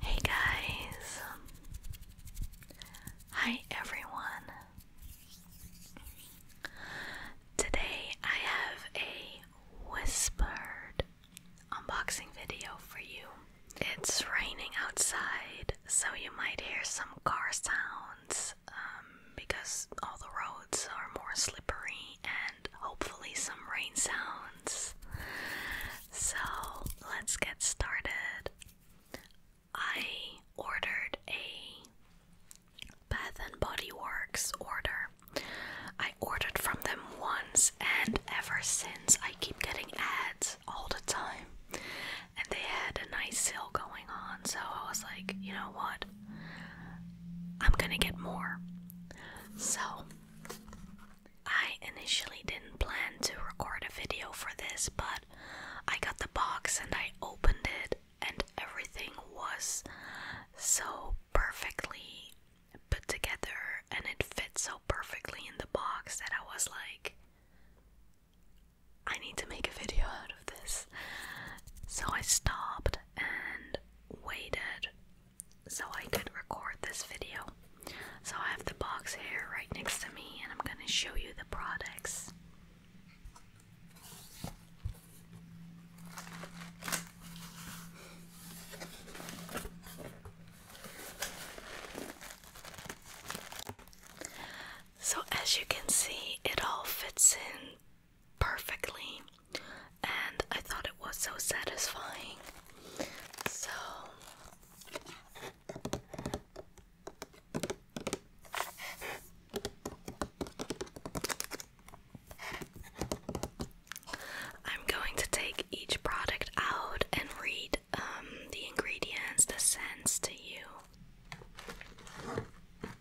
Hey guys. Hi everyone. Today I have a whispered unboxing video for you. It's raining outside, so you might hear some car sounds um, because all the roads are more slippery hopefully some rain sounds. So let's get started. I ordered a Bath and Body Works order. I ordered from them once, and ever since I keep getting ads all the time. And they had a nice sale going on, so I was like, you know what? I'm gonna get more. So, I initially didn't plan to record a video for this, but I got the box and I opened it, and everything was so perfectly put together and it fit so perfectly in the box that I was like, I need to make a video out of this. So I stopped and waited so I could record this video. So I have the box here right next to me, and I'm going to show you the products. So, as you can see, it all fits in perfectly, and I thought it was so satisfying. So, I'm going to take each product out and read um, the ingredients, the scents to you.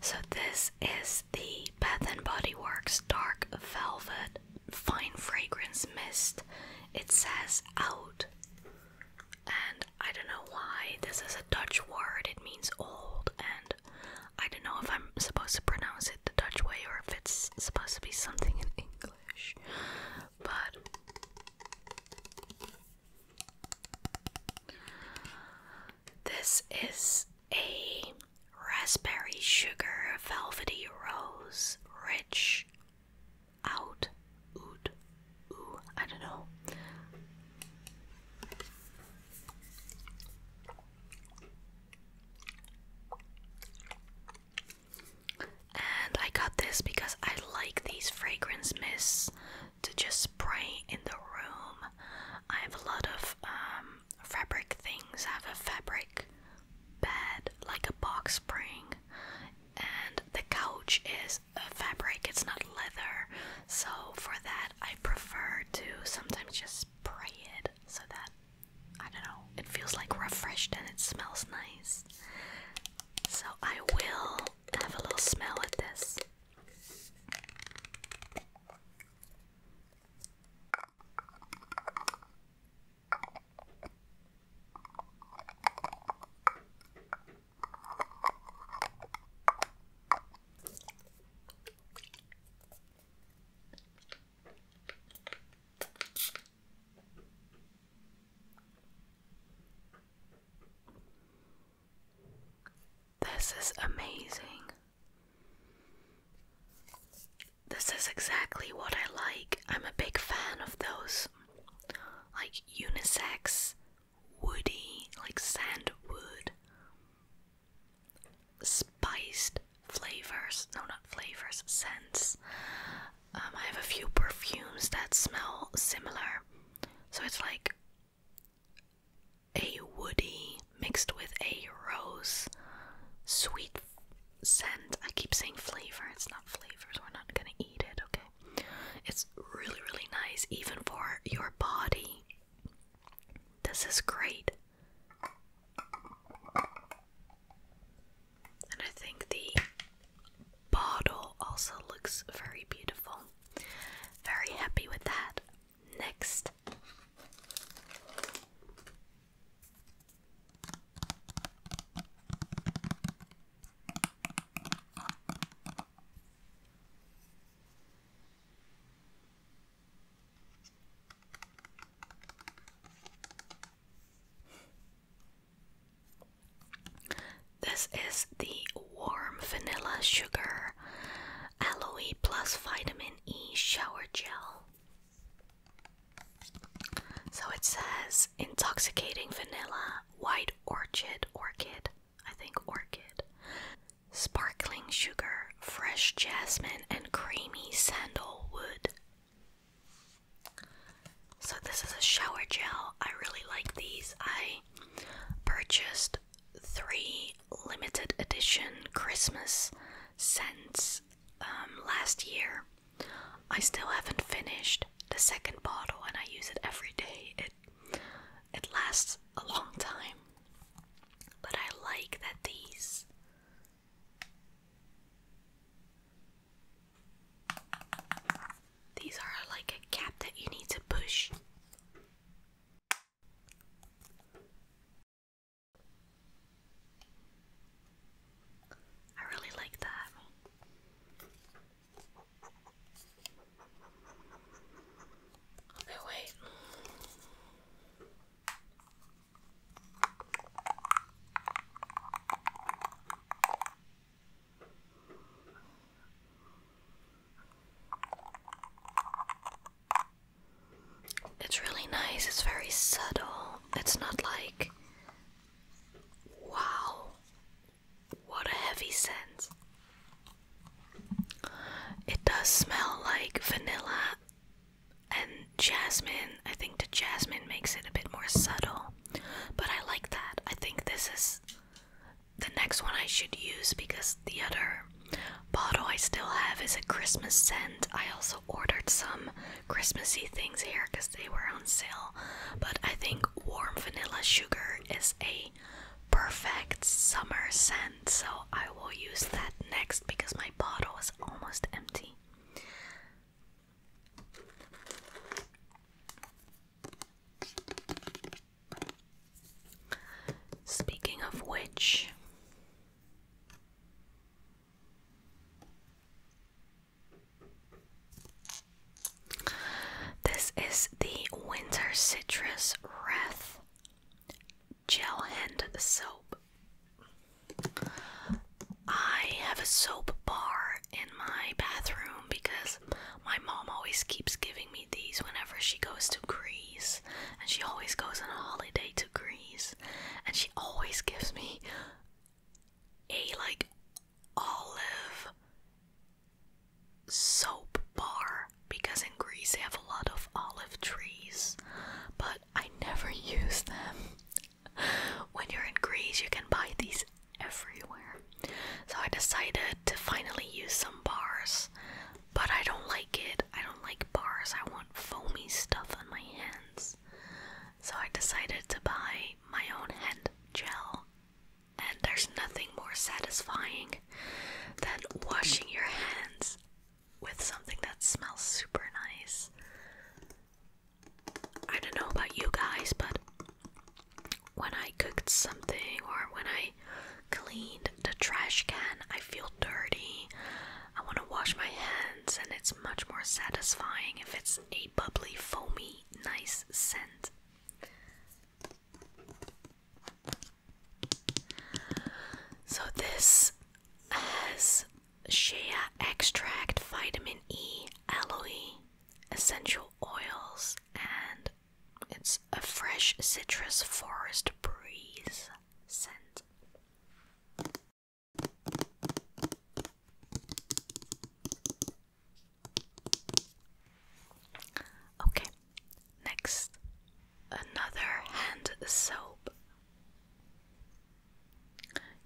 so this is the Bath and Body Works Dark Velvet Fine Fragrance Mist. It says out. And I don't know why this is a Dutch word. It means old and I don't know if I'm supposed to pronounce it the Dutch way or if it's supposed to be something in English but this is a raspberry sugar velvety rose rich out oot ooh I don't know. And I got this because I like these fragrance mists to just spray in the room. I have a lot of um, fabric things. I have a fabric bed, like a box spring, and the couch is a fabric, it's not leather. So, for that, I prefer to sometimes just spray it so that I don't know, it feels like refreshed and it smells nice. So I will have a little smell at this. This is amazing. This is exactly what I like. I'm a big fan of those like unisex, woody, like sandwood, spiced flavors. No, not flavors, scents. Um, I have a few perfumes that smell similar. So it's like a woody mixed with a rose sweet scent. I keep saying flavor, it's not flavors, we're not gonna eat it, okay? It's really, really nice, even for your body. This is great. And I think the bottle also looks very beautiful. Very happy with that. Next. This is the warm vanilla sugar aloe plus vitamin E shower gel. So it says intoxicating vanilla, white orchid, orchid, I think orchid, sparkling sugar, fresh jasmine, and creamy sandalwood so this is a shower gel. I really like these. I purchased three limited edition Christmas scents um, last year. I still haven't finished the second bottle, and I use it every day. It it lasts a long time, but I like that these these are like a cap that you need to push. I really like that. Okay, wait. It's really nice, it's very subtle. It's not like, wow, what a heavy scent. It does smell like vanilla and jasmine. I think the jasmine makes it a bit more subtle, but I like that. I think this is the next one I should use because the other bottle I still have is a Christmas scent. I also ordered some Christmassy things here because they were on sale, but I think warm vanilla sugar is a perfect summer scent, so I will use that next because my bottle is almost empty. Speaking of which, this is the Winter Citrus wreath Gel and Soap. I have a soap bar in my bathroom because my mom always keeps giving me these whenever she goes to Greece. And she always goes on a holiday to Greece. And she always gives me a like olive soap bar because in Greece they have a lot of olive trees, but I never use them when you're in Greece, you can buy these everywhere. So I decided to finally use some bars, but I don't like it. I don't like bars. I want foamy stuff on my hands. So I decided to buy my own hand gel. And there's nothing more satisfying than washing your hands with something that smells super nice. I don't know about you guys, but when I cooked something or when I cleaned the trash can, I feel dirty. I want to wash my hands, and it's much more satisfying if it's a bubbly, foamy, nice scent. So, this has shea extract, vitamin E, aloe, essential oils, and it's a fresh citrus forest breeze scent. Okay, next, another hand soap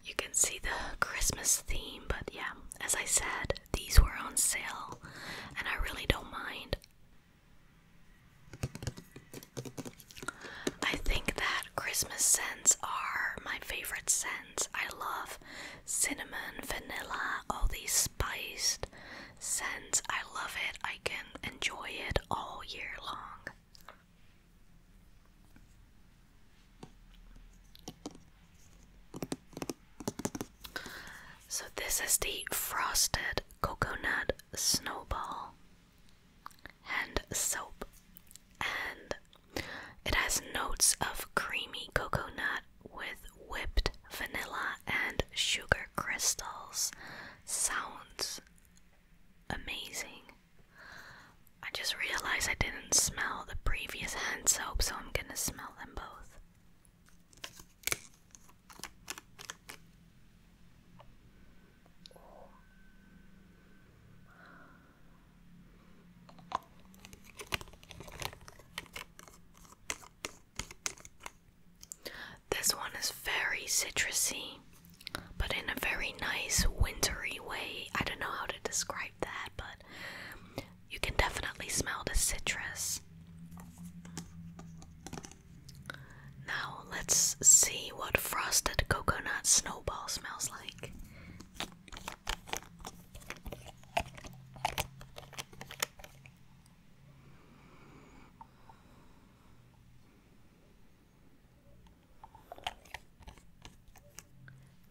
you can see the Christmas theme, but yeah, as I said, these were on sale, and I really don't mind. I think that Christmas scents are my favorite scents. I love cinnamon, vanilla, all these spiced scents. I love it. I can enjoy it all year long. So, this is the frosted coconut snowball hand soap, and it has notes of creamy coconut with whipped vanilla and sugar crystals. Sounds amazing. I just realized I didn't smell the previous hand soap, so I'm gonna smell them both. This one is very citrusy but in a very nice wintry way. I don't know how to describe that, but you can definitely smell the citrus. Now, let's see what frosted coconut snowball smells like.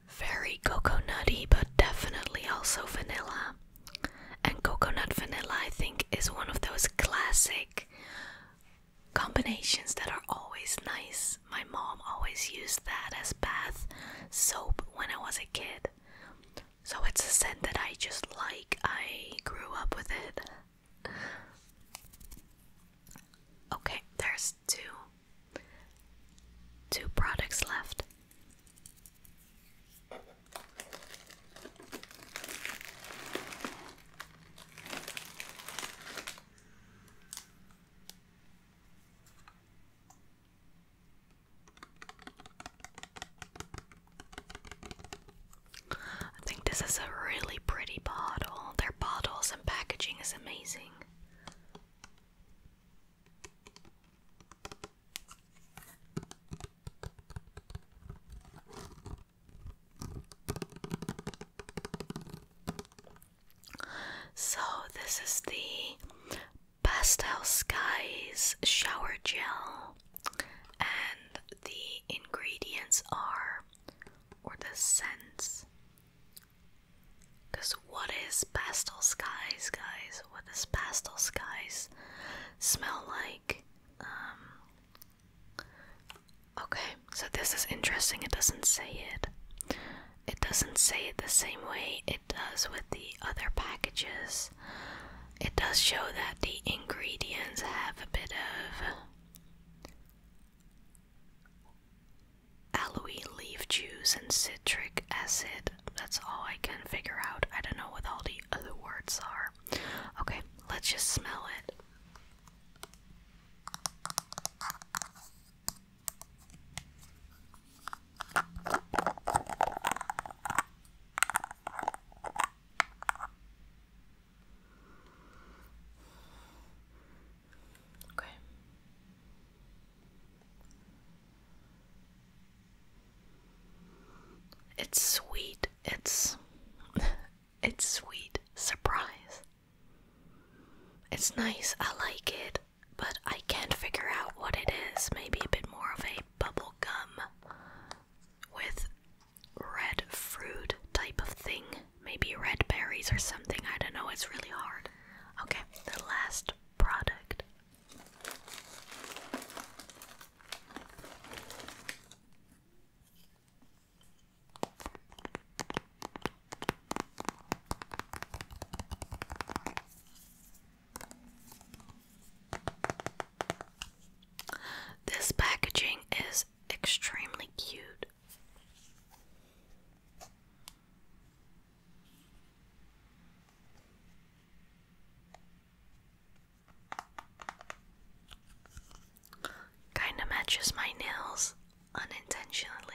Very cocoa nutty, but definitely also vanilla. And coconut vanilla, I think, is one of those classic combinations that are always nice. My mom always used that as bath soap when I was a kid. So it's a scent that I just like. I grew up with it okay, there's two two products left. I think this is a really pretty bottle. Their bottles and packaging is amazing. So, this is the Pastel Skies shower gel, and the ingredients are or the sense. Because what is pastel skies, guys? What does pastel skies smell like? Um, okay, so this is interesting. It doesn't say it. It doesn't say it the same way it does with the other packages. It does show that the ingredients have a bit of Aloe leaf juice and citric acid. That's all I can figure out. I don't know what all the other words are. Okay, let's just smell it. Okay. It's sweet. It's it's sweet surprise. It's nice. I like it, but I can't figure out what it is. Maybe a bit more of a bubble gum with red fruit type of thing. Maybe red berries or something. I don't know. It's really hard. Okay, the last product. This packaging is extremely cute. Kinda matches my nails unintentionally.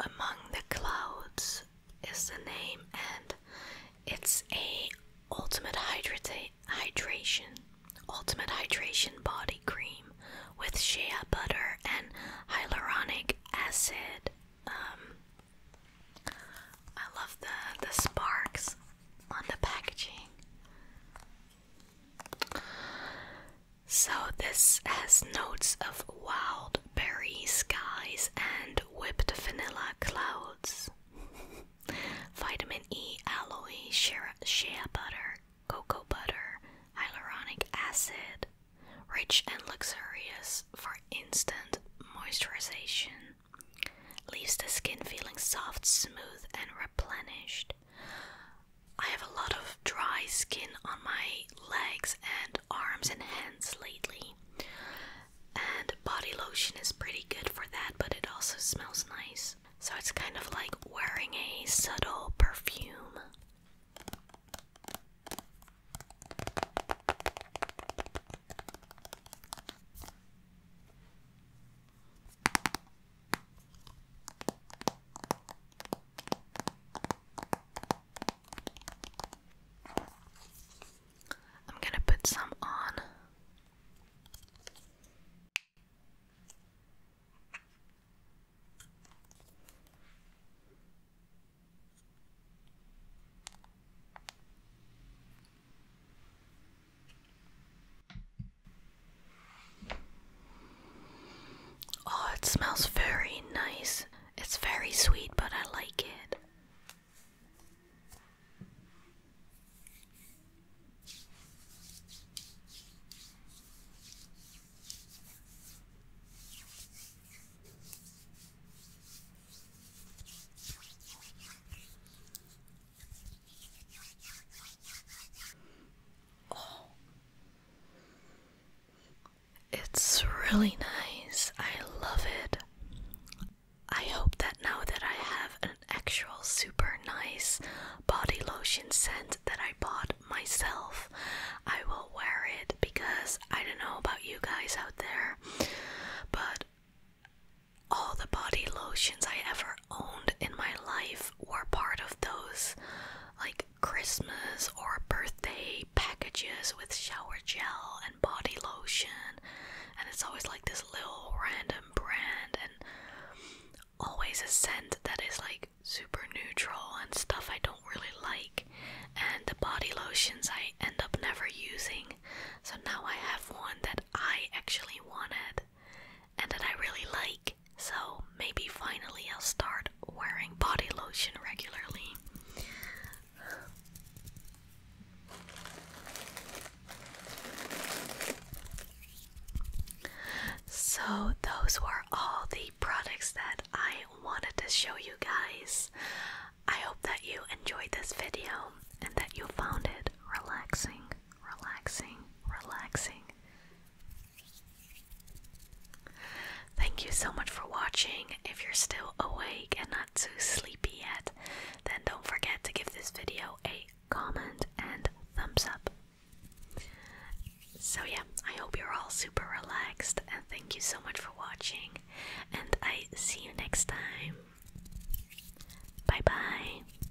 Among the Clouds is the name, and it's a ultimate hydration, ultimate hydration body cream with shea butter and hyaluronic acid. Um, I love the the sparks on the packaging. So, this has notes of wild berry skies and whipped vanilla clouds. Vitamin E, alloy shea, shea butter, cocoa butter, hyaluronic acid, rich and luxurious for instant moisturization. Leaves the skin feeling soft, smooth, and replenished. I have a lot of dry skin on my legs and arms and hands lately. And body lotion is pretty good for that, but it also smells nice. So it's kind of like wearing a subtle perfume. I'm going to put some on. Oh, it smells very nice. It's very sweet, but I like it. Oh, it's really nice. I love it. I hope that now that I have an actual super nice body lotion scent that I bought myself, I will wear it because I don't know about you guys out there, but all the body lotions I ever owned in my life were part of those like Christmas or birthday packages with shower gel and body lotion, and it's always like this little random brand, and always a scent that is like super neutral and stuff I don't really like. And the body lotions I end up never using, so now I have one that I actually wanted and that I really like, so maybe finally I'll start wearing body lotion regularly. So, those were all the products that I wanted to show you guys. I hope that you enjoyed this video and that you found it relaxing relaxing, relaxing. Thank you so much for watching. If you're still awake and not too sleepy yet, then don't forget to give this video a comment and thumbs up. So, yeah, I hope you're all super relaxed and thank you so much for watching. And I see you next time. Bye bye.